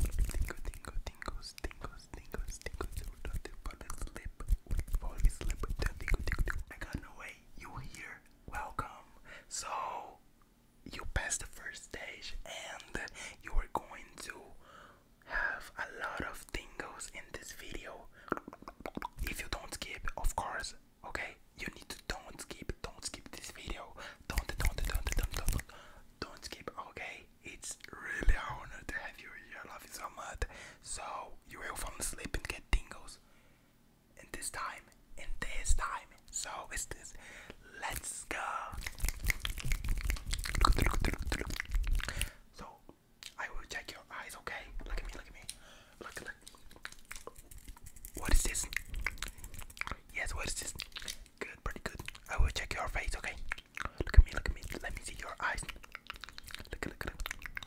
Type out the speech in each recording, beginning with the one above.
Tingle, tingle, tingles, tingles, tingles, tingles, tingles, tingles, slip, falling slip, tingle, tingle, I got no way, you here, welcome. So, you passed the first stage and you are going to have a lot of tingles in this video. If you don't skip, of course, okay? You need to don't skip, don't skip this video. Don't, don't, don't, don't, don't, don't skip, okay? It's really a honor to have you here. I love you so much. So you will fall asleep and get tingles. In this time, in this time. So it's this. Let's go. So I will check your eyes, okay? Look at me, look at me. Look, at look. What is this? Yes, what is this? Good, pretty good. I will check your face, okay? Look at me, look at me. Let me see your eyes. Look, look, look.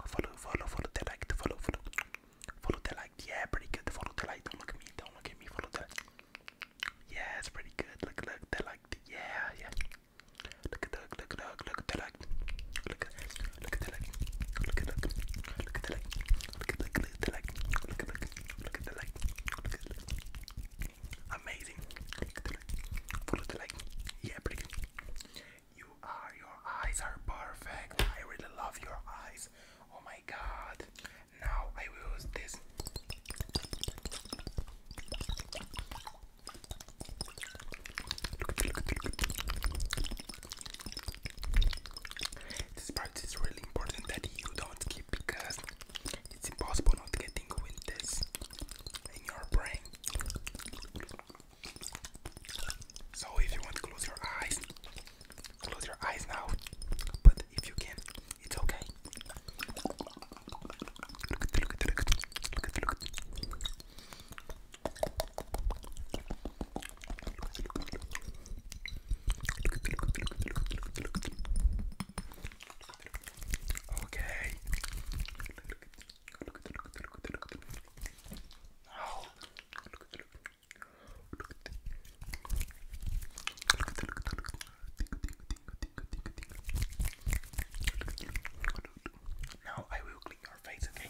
Follow, follow, follow the light. Follow, follow. Follow the light. Yeah, pretty good. Follow the light. Don't look at me. Don't look at me. Follow the light. Yeah, it's pretty good. Look, look, the light. Yeah, yeah. Look at the look, look, look, look at the light. Look, look at the light. Look at the light. Look at the light. Look at the light. Look at the light. Look at the light. Look at the light. Amazing. Look at the light. Yeah, pretty You are, your eyes are perfect. I really love your eyes. Oh my god. Now I will use this. This part is really important that you don't because it's impossible not getting with this in your brain. So if you want to close your eyes, close your eyes now. But if you can, it's okay. Okay. Oh. Now I will clean your face, okay?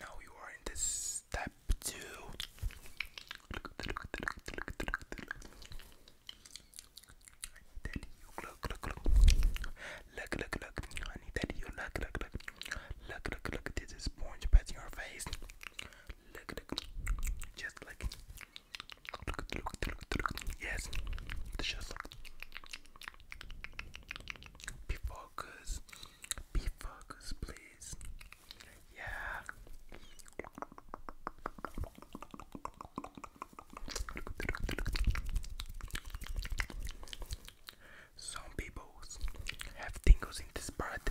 Now you are in this step two. I need that you look, look, look, look, look, look. I need that you look, look, look, look, look, look. This is sponge patting your face. Look, look, just like Yes, delicious. Be focused. please. Yeah. Some people have tingles in this part.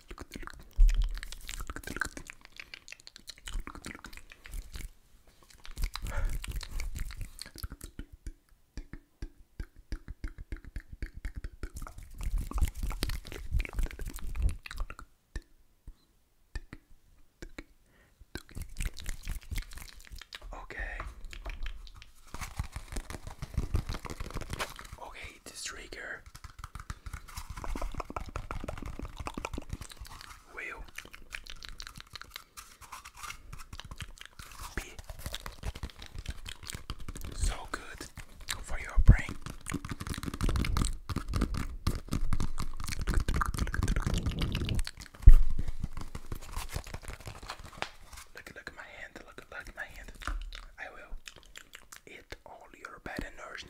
Look at the look. Look at the look. Look at the look. Okay. Okay, hate this trigger. Will so good for your brain. Look, look at my hand. Look, look at my hand. I will eat all your bad energy.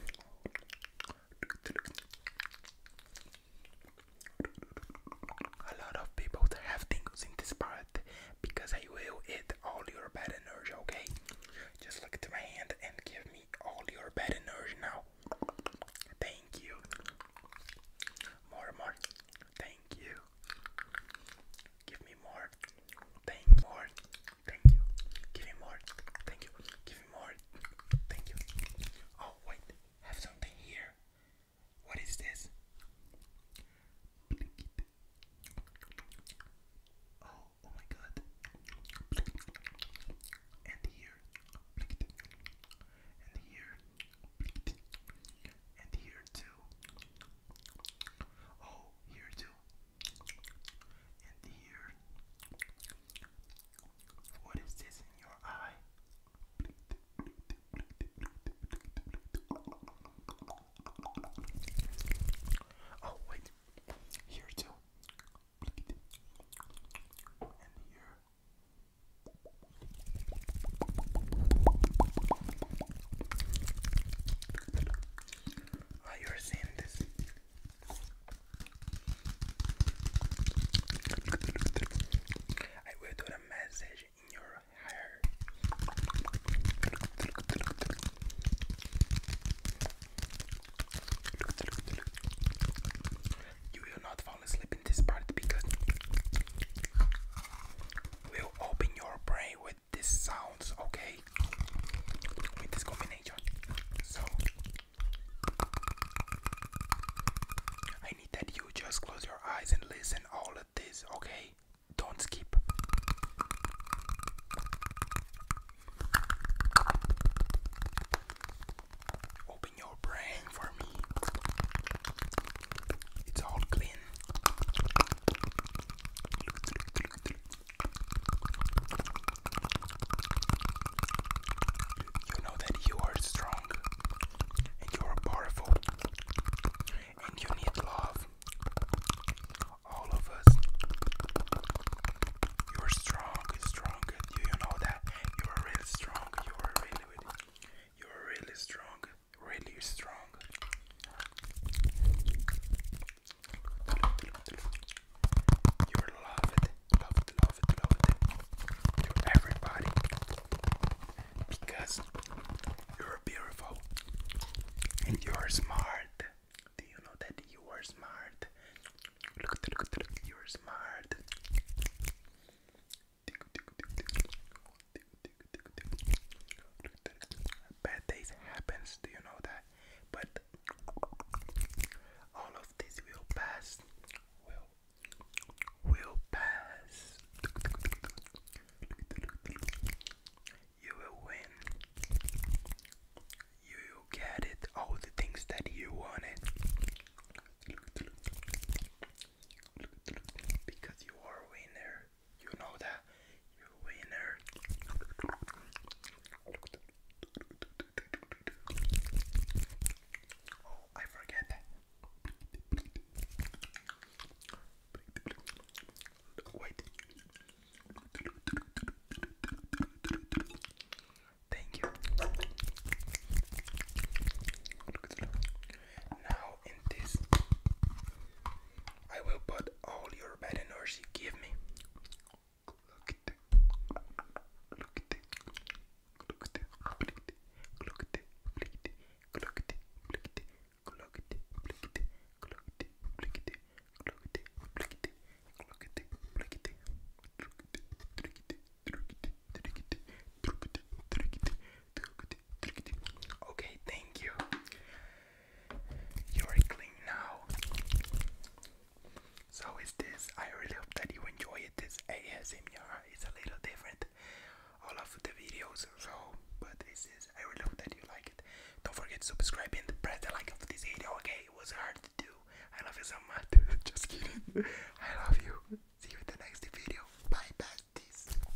A lot of people have tingles in this part because I will eat all your bad energy, okay? Just look at my hand and give me all your bad energy now. Thank you. More, more. Thank you. Give me more. Thank more. Thank you. Give me more. Thank you. Give me more. Thank you. Oh, wait. have something here. What is this? oh, oh my god. And here. And here. And here too. Oh, here too and here. What is this in your eye? Oh, wait, here too. And here. Are you seeing this? I will do the message in your hair. You will not fall asleep in this part because we'll open your brain this sounds, okay? With this combination. So I need that you just close your eyes and listen all of this, okay? Don't skip. Open your brain for me. It's all clean. You know that you are strong and you are powerful and you need love. All of us. You are strong, strong. Do you know that? You are really strong. You are really, you are really strong. Really strong. You will love it, love it, love it, love everybody because you're beautiful and you're smart. Do you know that you are smart? Look at look, look, look, you're smart. Bad days happens, do you know that? But all of this will pass. Will pass. You will win. You will get it. All the things that you wanted. Because you are a winner. You know that you winner. Oh, I forget Thank you. Now in this. I will put all your bad energy give me. Okay, thank you. You're clean now. So is this. I really hope that you enjoyed this ASMR. It's a little different, all of the videos. So, but this is. I really hope that you like it. Don't forget to subscribe and press the like of this video. Okay, it was hard to do. I love you so much. Just kidding. I love you. See you in the next video. Bye, besties.